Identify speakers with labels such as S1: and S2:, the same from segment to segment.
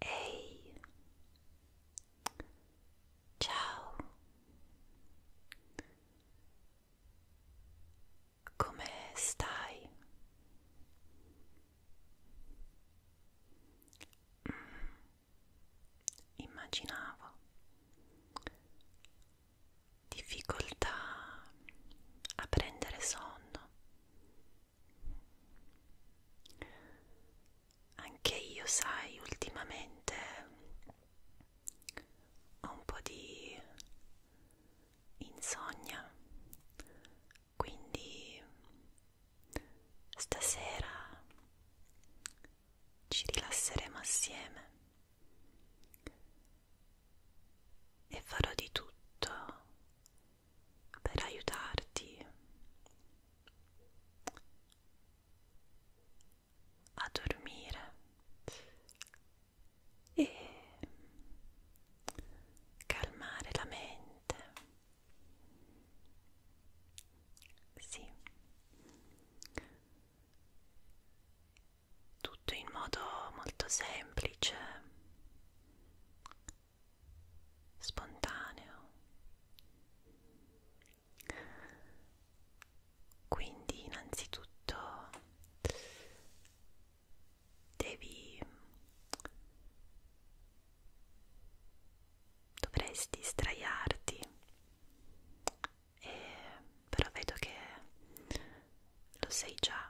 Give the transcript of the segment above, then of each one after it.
S1: Ehi, ciao, come stai? Mm, immaginavo difficoltà a prendere sonno anche io, sai, ultimamente ho un po' di insonnia, quindi stasera ci rilasseremo assieme e farò di tutto per aiutarti a dormire e calmare la mente. Sì. Tutto in modo molto semplice spontaneo. Quindi innanzitutto devi dovresti straiarti e, però vedo che lo sei già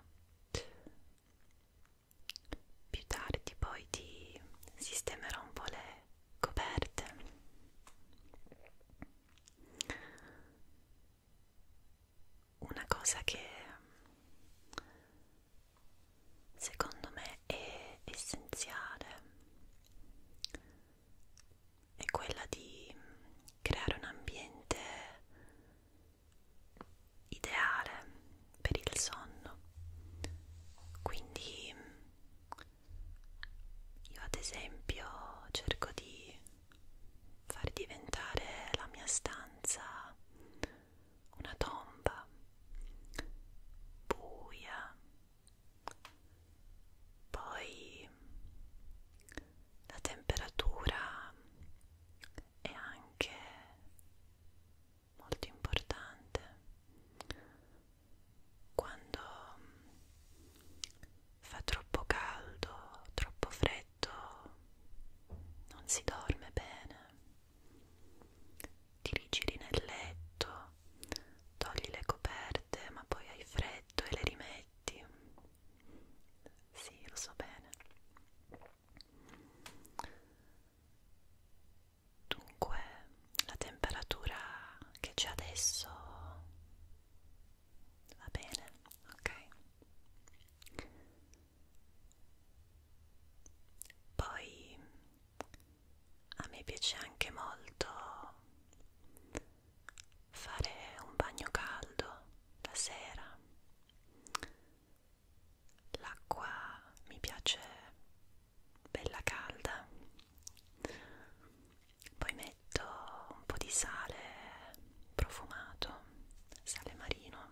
S1: più tardi poi ti sistemerò un po' le coperte. Una cosa che secondo me è essenziale è quella di creare un ambiente ideale per il sonno quindi io ad esempio cerco di far diventare la mia stanza una tomba buia poi la temperatura è anche molto importante quando mm, fa troppo caldo, troppo freddo, non si dorme bene. Ti rigiri nel letto, togli le coperte, ma poi hai freddo e le rimetti. Sì, lo so bene. Dunque, la temperatura che c'è adesso va bene, ok? Poi a me piace anche molto fare un bagno caldo la sera L'acqua mi piace bella calda. Poi metto un po' di sale profumato, sale marino.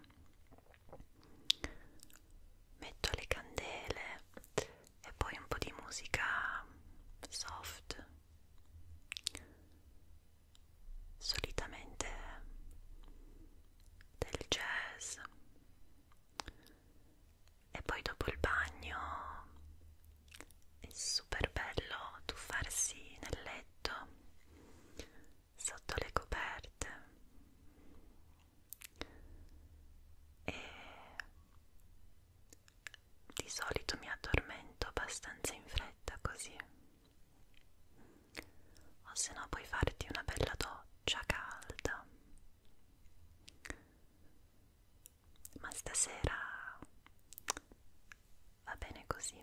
S1: Metto le candele e poi un po' di musica soft. Solitamente del jazz e poi dopo il bagno è super bello tuffarsi nel letto sotto le coperte e di solito mi addormento abbastanza in fretta così o se no puoi farti una bella doccia calda ma stasera va bene così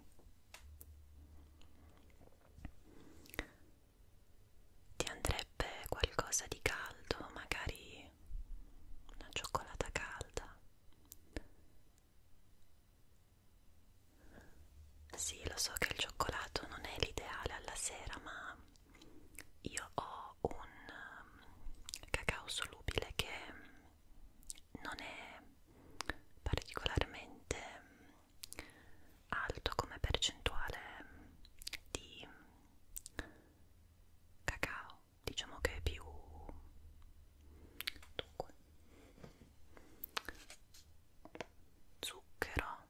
S1: ti andrebbe qualcosa di caldo magari una cioccolata calda sì, lo so che il cioccolato non è l'ideale alla sera, ma io ho un um, cacao solubile che non è particolarmente um, alto come percentuale um, di cacao diciamo che è più dunque zucchero e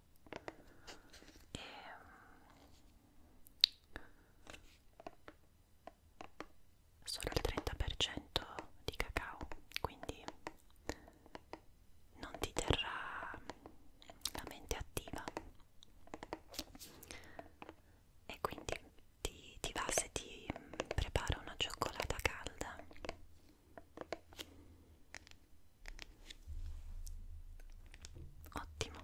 S1: sono al 30% di cacao quindi non ti terrà la mente attiva e quindi ti, ti va se ti preparo una cioccolata calda Ottimo.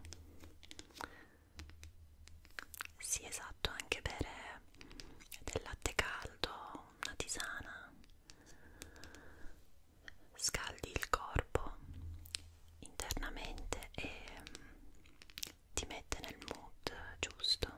S1: Sì, esatto, anche bere del latte caldo, una tisana. Scaldi il corpo internamente e mm, ti mette nel mood giusto.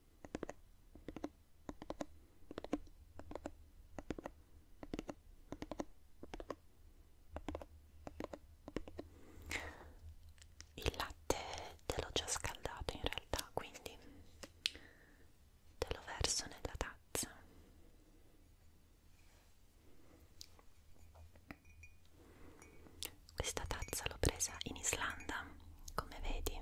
S1: Il latte te l'ho già scaldato in realtà, quindi te lo verso nella tazza. Questa tazza l'ho presa in Islanda, come vedi.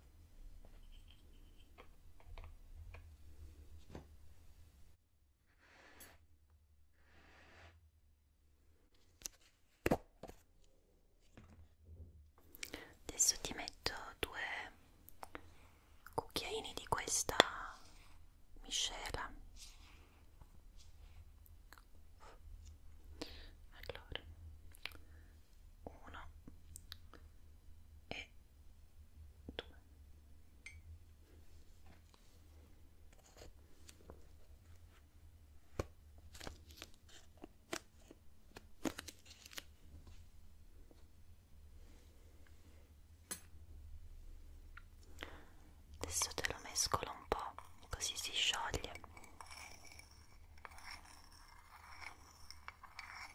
S1: Adesso ti metto due cucchiaini di questa miscela. Allora, 1 e 2 Adesso te lo mescolo un po' così si scioglie.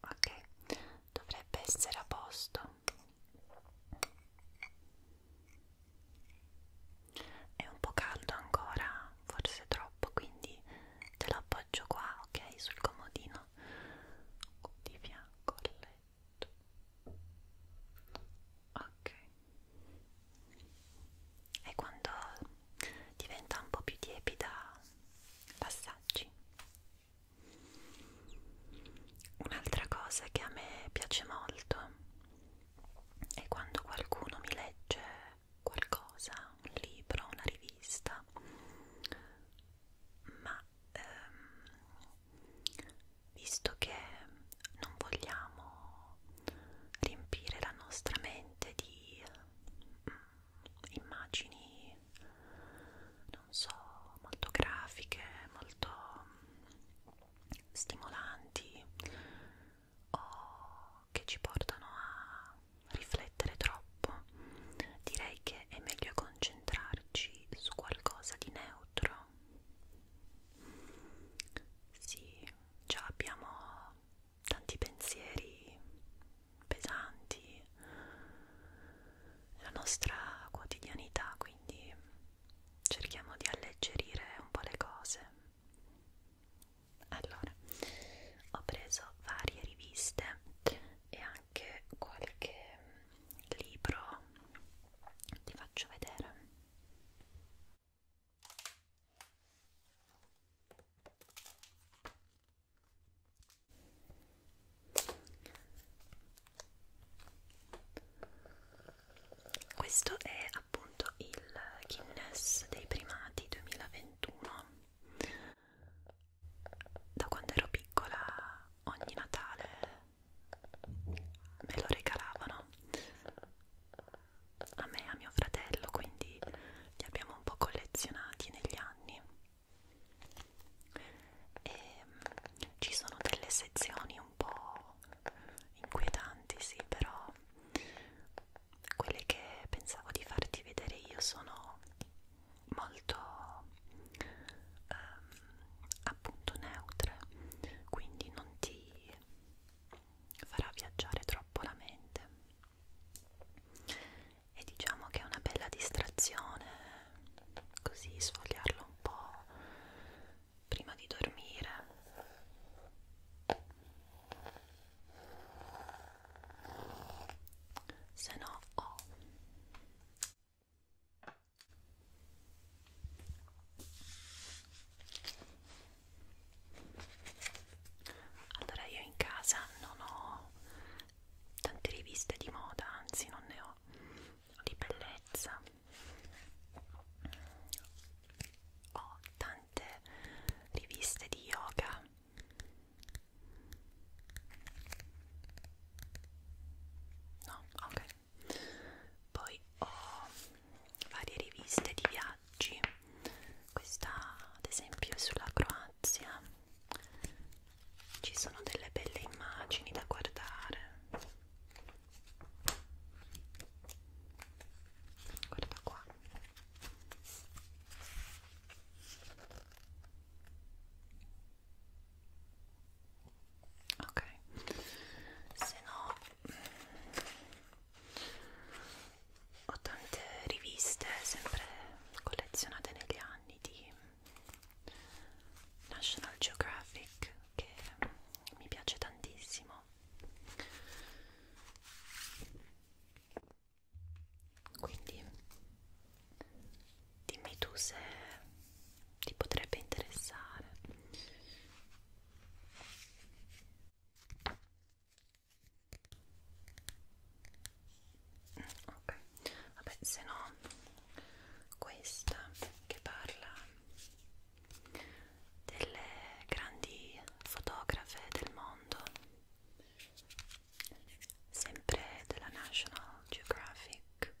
S1: ok dovrebbe essere a posto è un po' caldo ancora forse troppo quindi te lo appoggio qua ok sul comodino di fianco al letto ok e quando diventa un po' più tiepida passaggi un'altra cosa che a me piace molto è quando qualcuno mi legge qualcosa un libro, una rivista ma ehm, visto che non vogliamo riempire la nostra mente di Mm, immagini non so molto grafiche molto mm, stimolanti o che ci portano a riflettere troppo direi che è meglio concentrarci su qualcosa di neutro sì già abbiamo tanti pensieri pesanti, la nostra quotidianità, quindi cerchiamo di alleggerire un po' le cose. Allora, ho preso varie riviste e anche qualche libro, ti faccio vedere. Questo è appunto il Guinness dei primati 2021. Da quando ero piccola ogni Natale me lo regalavano a me e a mio fratello, quindi li abbiamo un po' collezionati negli anni. E ehm, ci sono delle sezioni un po' inquietanti, sì, però quelle che pensavo di farti vedere io sono molto ehm, appunto neutre, quindi non ti farà viaggiare troppo la mente e diciamo che è una bella distrazione così sfogliarlo un po' prima di dormire se no ho oh allora io in casa non ho tante riviste di moda anzi non ne ho di bellezza ho tante riviste di yoga no ok poi ho varie riviste di viaggio viaggi questa ad esempio è sulla Croazia ci sono delle belle immagini da guardare guarda qua ok se no ho tante riviste sempre collezionate negli anni di National Geographic che mi piace tantissimo quindi dimmi tu se ti potrebbe interessare ok vabbè se no questa che parla delle grandi fotografe del mondo sempre della National Geographic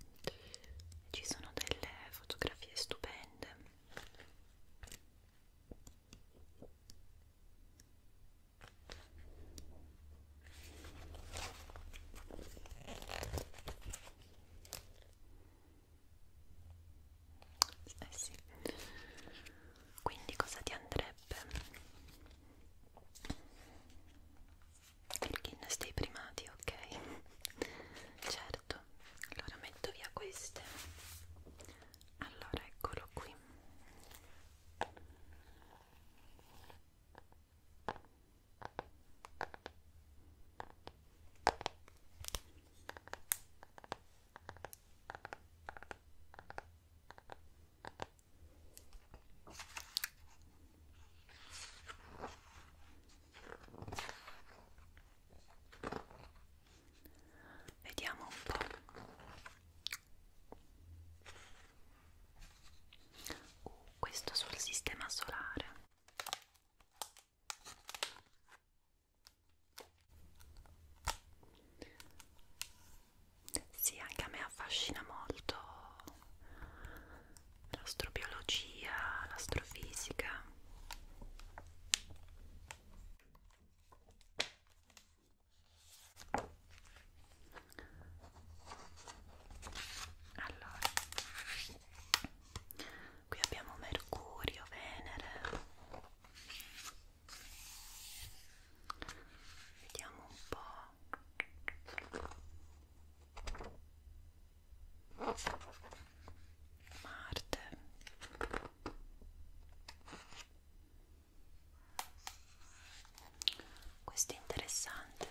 S1: ci sono delle fotografie stupende eh sì. Quindi cosa ti andrebbe? Il Guinness dei primati, ok? Certo. Allora metto via queste allora eccolo qui vediamo un po' uh, questo sul sistema solare sì, anche a me affascina molto l'astrobiologia, l'astrofisica. Allora, qui abbiamo Mercurio, Venere. Vediamo un po'. Marte questo è interessante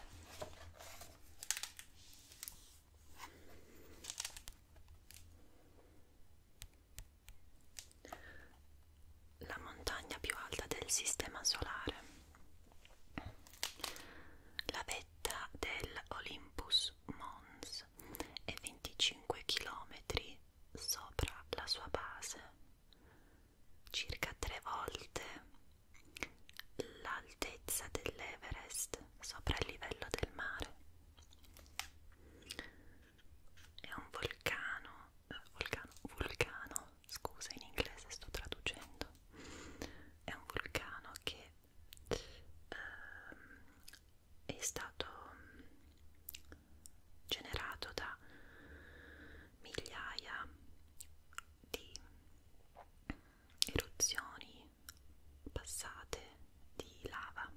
S1: la montagna più alta del sistema solare la vetta dell'Olympus Mons è 25 km sopra la sua base circa tre volte l'altezza dell'Everest sopra il livello del mare. È un volcano, volcano, vulcano, scusa in inglese sto traducendo, è un vulcano che ehm, è stato generato da migliaia di eruzioni passate di lava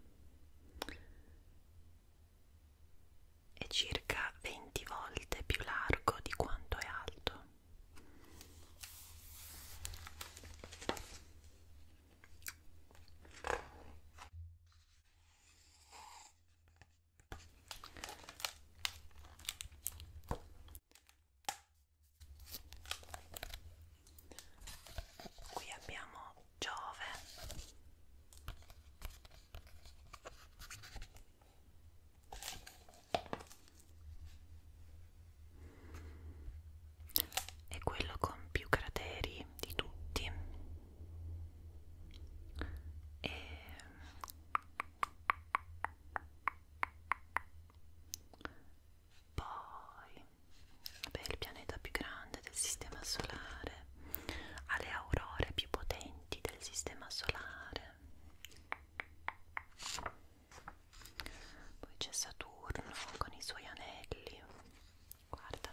S1: è circa 20 volte più largo di quanto è alto Qui abbiamo Giove, è quello con più crateri di tutti e poi vabbè, il pianeta più grande del sistema solare ha le aurore più potenti del sistema solare poi c'è Saturno con i suoi anelli guarda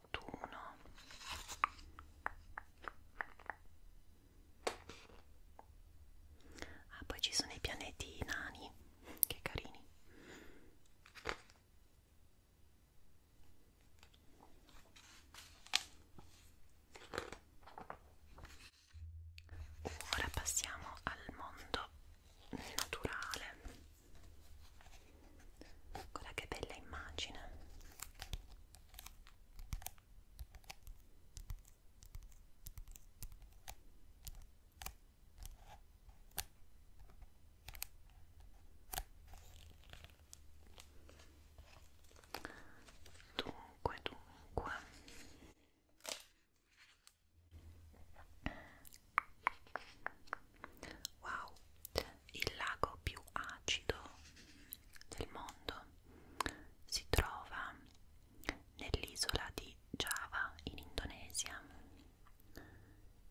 S1: Nettuno ah poi ci sono i pianeti nani che carini ora passiamo al mondo naturale guarda che bella immagine Dunque, dunque. Wow, il lago più acido del mondo. Si trova nell'isola di Java in Indonesia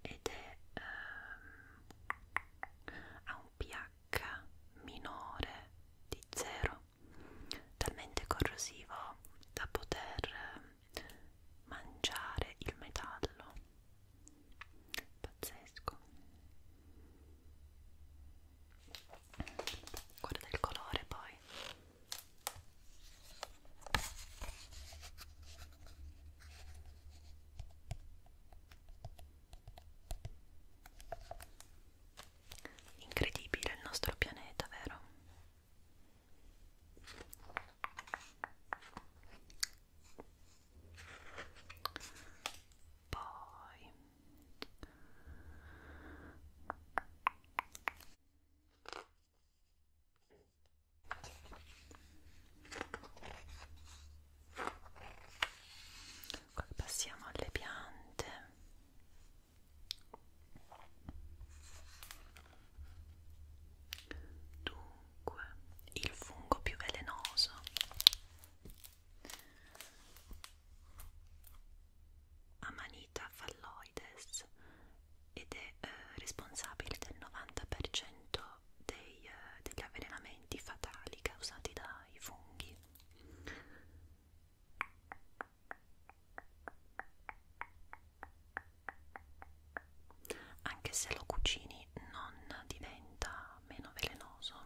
S1: ed è ehm, a un pH minore di 0, talmente corrosivo da poter ehm, mangiare il metallo pazzesco guarda il colore poi incredibile il nostro pianeta vero poi ecco, passiamo alle piante dunque il fungo più velenoso Amanita falloides ed è eh, responsabile del 90% dei, eh, degli avvelenamenti fatali causati dai funghi. Anche se lo cucini non diventa meno velenoso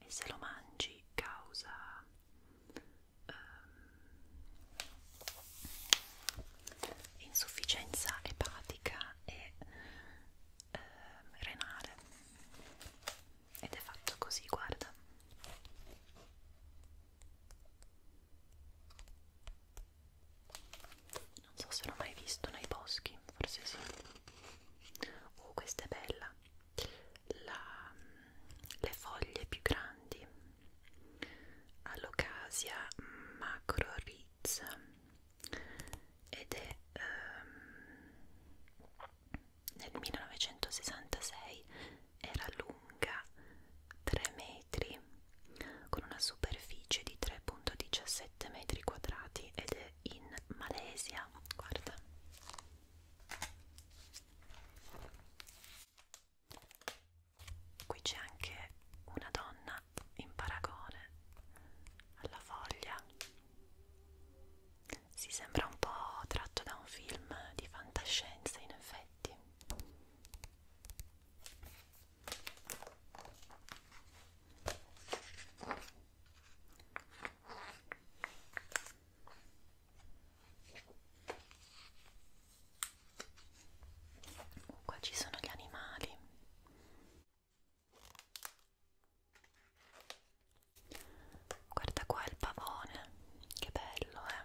S1: e se lo mangi causa um, insufficienza epatica e um, renale ed è fatto così guarda non so se l'ho mai visto nei boschi, forse sì oh questa è bella La, le foglie più grandi all'ocasia macro ritz ed è um, nel 1966 era lunga 3 metri con una superficie di 3.17 metri quadrati ed è in Malesia guarda qui c'è anche una donna in paragone alla foglia si sembra un po' tratto da un film di fantascienza in effetti Oh, qua ci sono gli animali. Guarda qua il pavone, che bello, eh.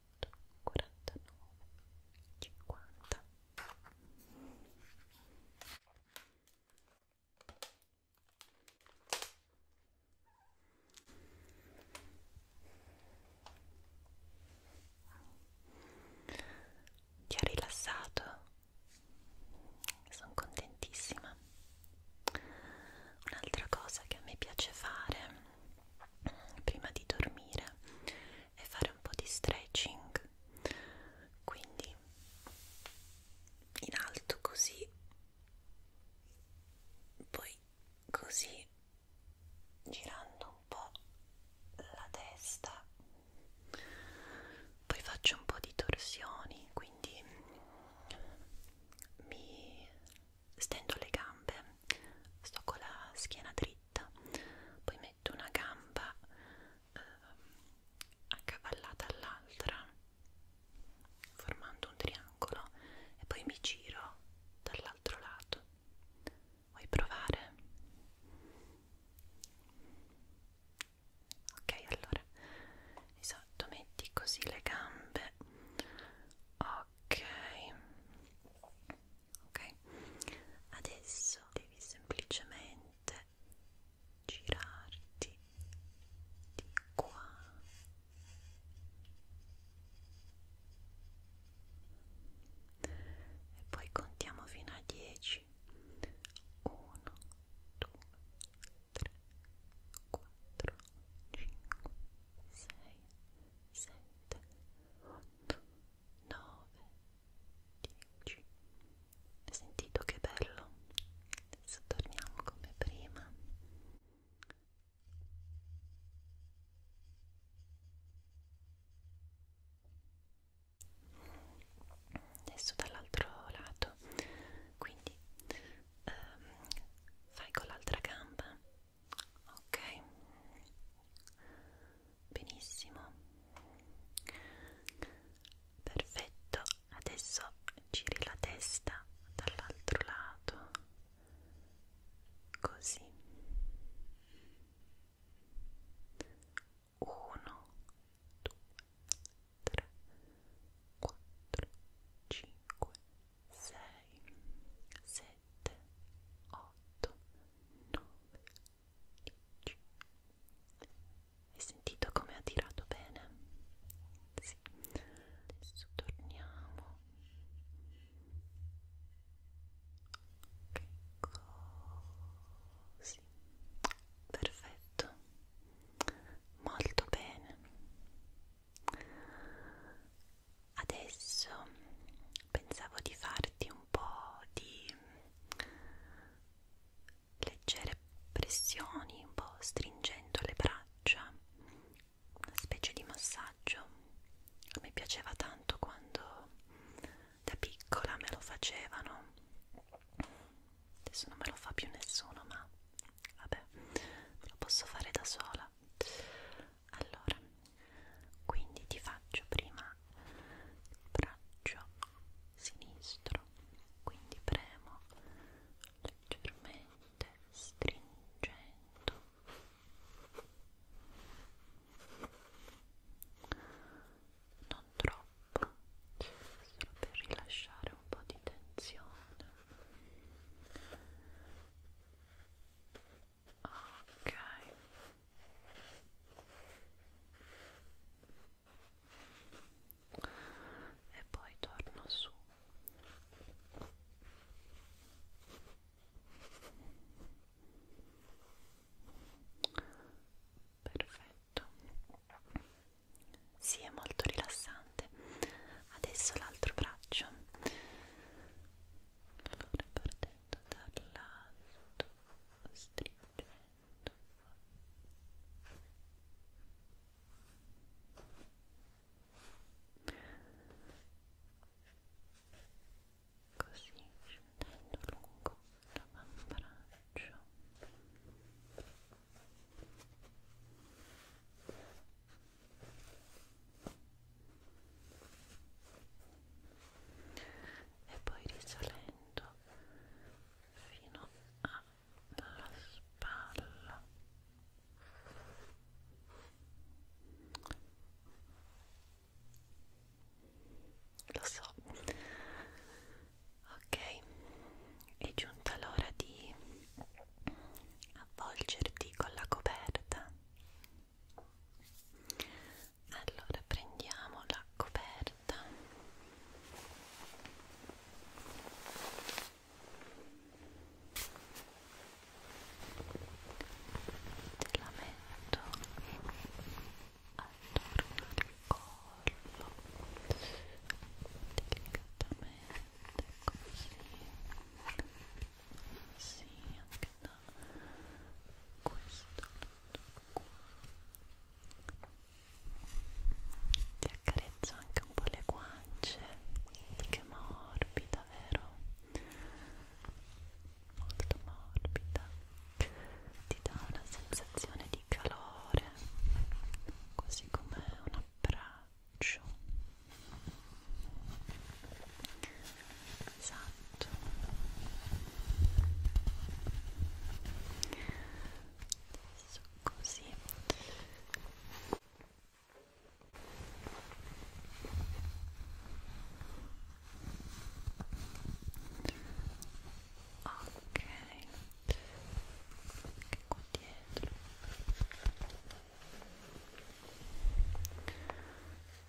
S1: 50 ti ha rilassato? Sono contentissima. Un'altra cosa che a me piace fare prima di dormire e fare un po' di stretching quindi in alto così poi così girando un po' la testa poi faccio un po' di torsioni quindi mi stendo le gambe sto con la schiena dritta poi metto una gamba eh, accavallata all'altra formando un triangolo e poi mi giro dall'altro lato vuoi provare? ok allora esatto metti così le gambe ok ok? Adesso devi semplicemente girarti di qua e poi contiamo fino a 10 1 2 3 4 5 6 7 8 9 10 hai sentito che bello? adesso torniamo come prima adesso dall'altro lato quindi ehm, fai con l'altra gamba ok benissimo perfetto adesso giri la testa dall'altro lato così uno due tre quattro cinque sei sette otto nove hai sentito come ha tirato bene? Sì. Adesso torniamo. Così. Perfetto. Molto bene. Adesso pensavo di farti un po' di leggere pressioni, un po' stringendo le braccia, una specie di massaggio. Mi piaceva tanto quando da piccola me lo facevano. Adesso non me lo fa più nessuno, ma vabbè, me lo posso fare da sola. Allora, quindi ti faccio prima il braccio sinistro quindi premo leggermente stringendo non troppo solo per rilasciare un po' di tensione ok e poi torno su perfetto si sì, è molto rilassante adesso l'altro braccio allora partendo dall'alto stringendo così scendendo lungo l'avambraccio Ecco e poi risalendo fino alla spalla lo so ok è giunta l'ora di avvolgerti con la coperta allora prendiamo la coperta te la metto attorno al collo delicatamente così sì, anche da da questo qua ti accarezzo anche un po' le guance che morbida vero? molto morbida ti dà una sensazione di calore così come un abbraccio esatto adesso così ok anche qua dietro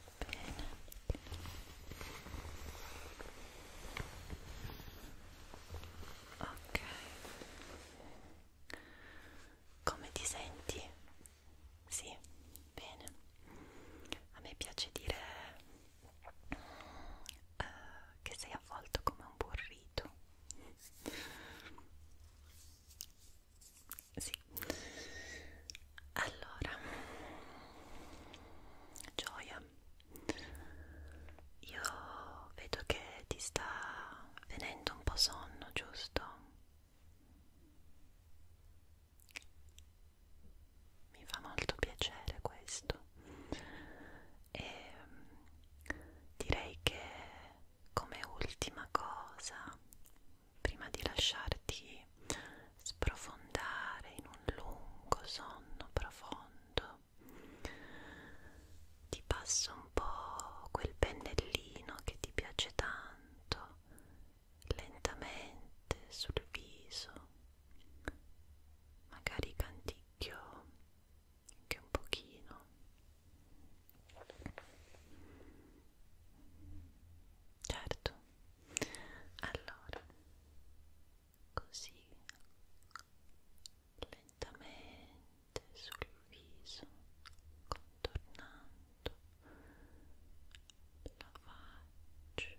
S1: bene ok come ti senti? sì, bene a me piace dire uh, che sei avvolto come un burrito sì allora, gioia, io vedo che ti sta venendo un po' sonno, giusto? Mi fa molto piacere questo e mm, direi che come ultima cosa prima di lasciarti sprofondare in un lungo sonno profondo. Ti passa un po' quel pennellino che ti piace tanto, lentamente sul viso, magari canticchio anche un pochino. Certo, allora così lentamente
S2: sul viso contornando la faccia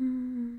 S2: Mm.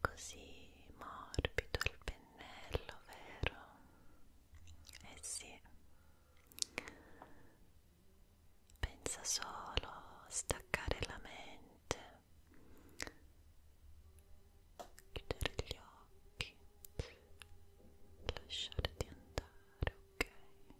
S2: Così
S1: morbido il pennello, vero? Eh sì. Pensa solo a staccare la mente, chiudere gli occhi, lasciarti
S2: andare, ok?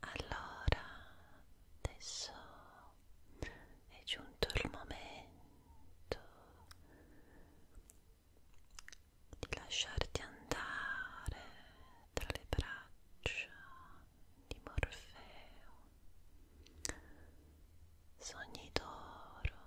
S1: Allora, adesso è giunto il momento di lasciarti andare tra le braccia di Morfeo. Sogni d'oro